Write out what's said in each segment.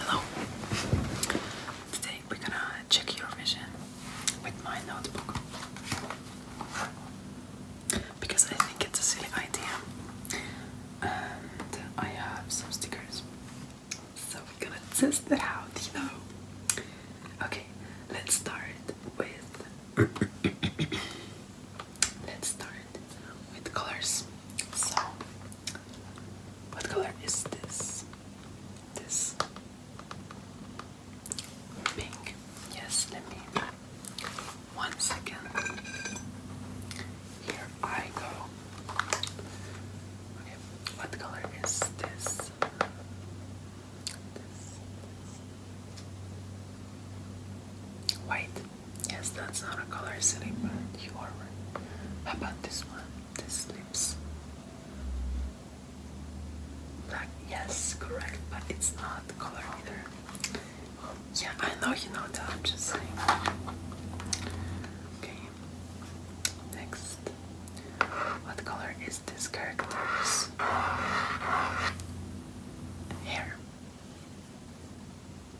Hello. Today we're gonna check your vision with my notebook because I think it's a silly idea, I have some stickers, so we're gonna test that out, you know. Okay, let's start with. let's start with colors. So, what color is this? This pink. Yes, let me. One second. Here I go. Okay, what color is this? This. White. Yes, that's not a color, silly, but you are right. about this one? This lips. Black, yes, correct, but it's not color either. Yeah, I know you know that, I'm just saying. Okay, next. What color is this character's hair?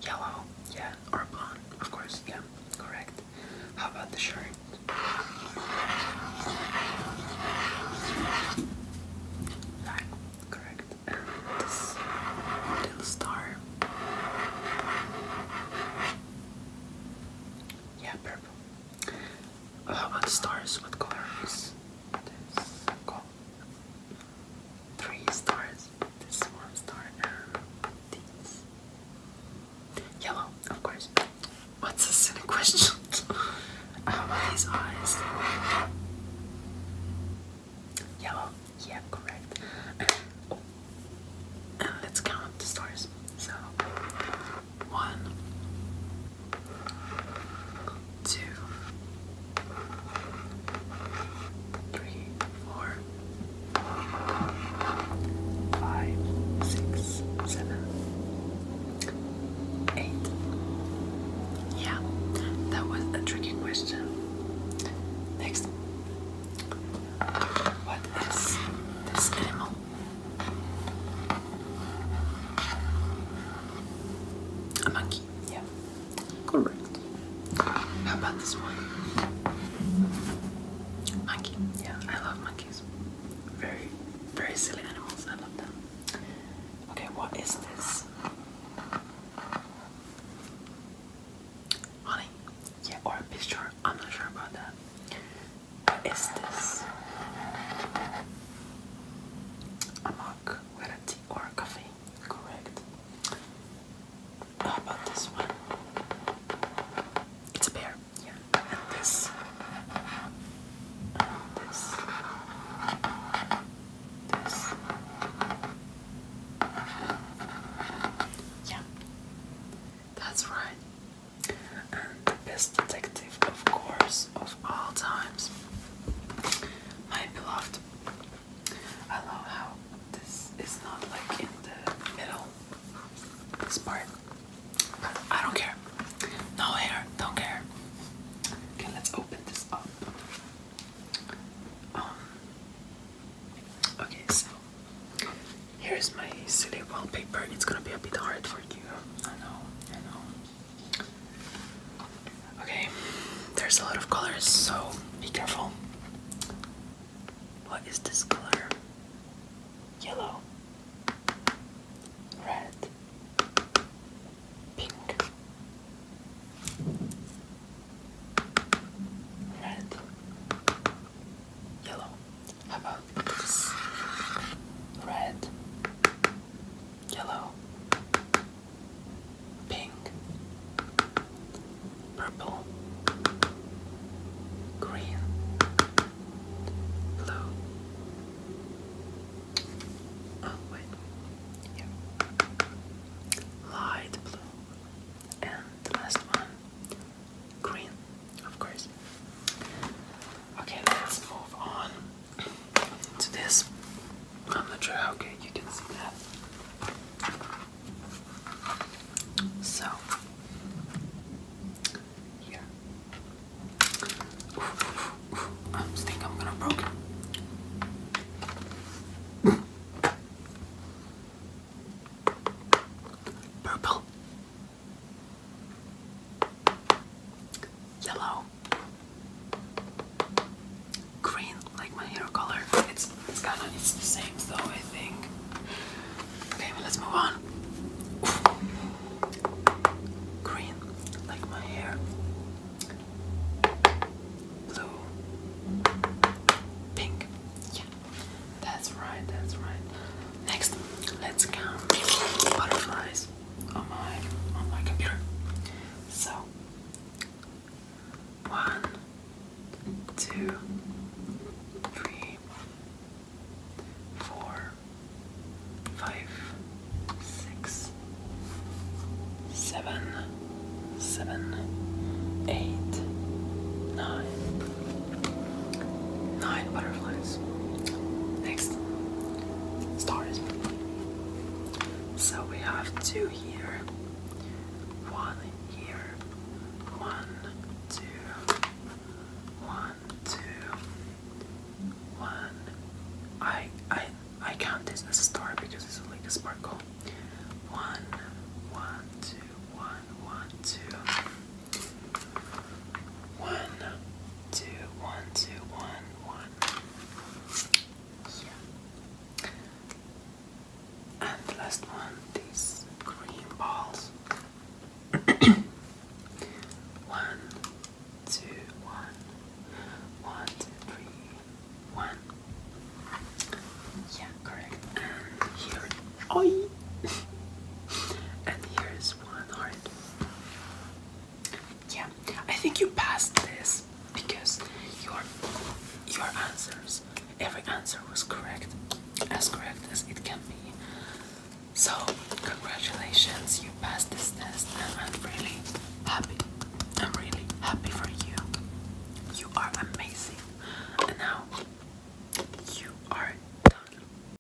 Yellow, yeah, or blonde, of course, yeah, correct. How about the shirt? Black, correct. This little star. Yeah, purple. How about stars? What color this? Gold three stars, this one star and um, Yellow, of course. What's a question? his oh, eyes. Yellow, yeah, correct. Oh. and let's count the stars. So, one, two, three, four, five, six, seven, eight. Yeah, that was a tricky question. Next, what is this animal? A monkey, yeah. Correct. How about this one? Monkey. Yeah, I love monkeys. Very, very silly animals. I love them. Okay, what is this? Honey. Yeah, or a picture. I'm not sure about that. What is this? A mug with a T or coffee, correct. How about this one? It's a pear, yeah. this, this, this, yeah. That's right. And the best detective, of course, of all times. My beloved I love how this is not like in the middle, this part. I don't care. No hair, don't care. Okay, let's open this up. Um, okay, so here's my silly wallpaper. It's gonna be a bit hard for you. I know, I know. Okay, there's a lot of colors, so be careful. What is this color? Yellow, red, pink, red, yellow. How about Red, yellow, pink, purple, green, blue. Oh, Light blue. And the last one, green, of course. Okay, let's move on to this. I'm not sure how good you can see that. So, yeah. I think I'm gonna broke Purple, yellow, green like my hair color. It's it's kind of it's the same though I think. Okay, let's move on. Green like my hair. Blue. Pink. Yeah. That's right, that's right. Next, let's count butterflies on my on my computer. So one, two, three, four, five, butterflies. Next, stars. So we have two here, one here, one, two, one, two, one. I I I count this as a star because it's like a sparkle. One, one, two, one, one, two. One, two, one, two, one, one. Yeah. And the last one, these green balls. one, two, one, one, two, three, one. Yeah, correct. And here, oi! and here is one heart. Yeah, I think you passed this because your your answers, every answer was correct, as correct as it can be. So congratulations, you passed this test, and I'm really happy. I'm really happy for you. You are amazing, and now you are done.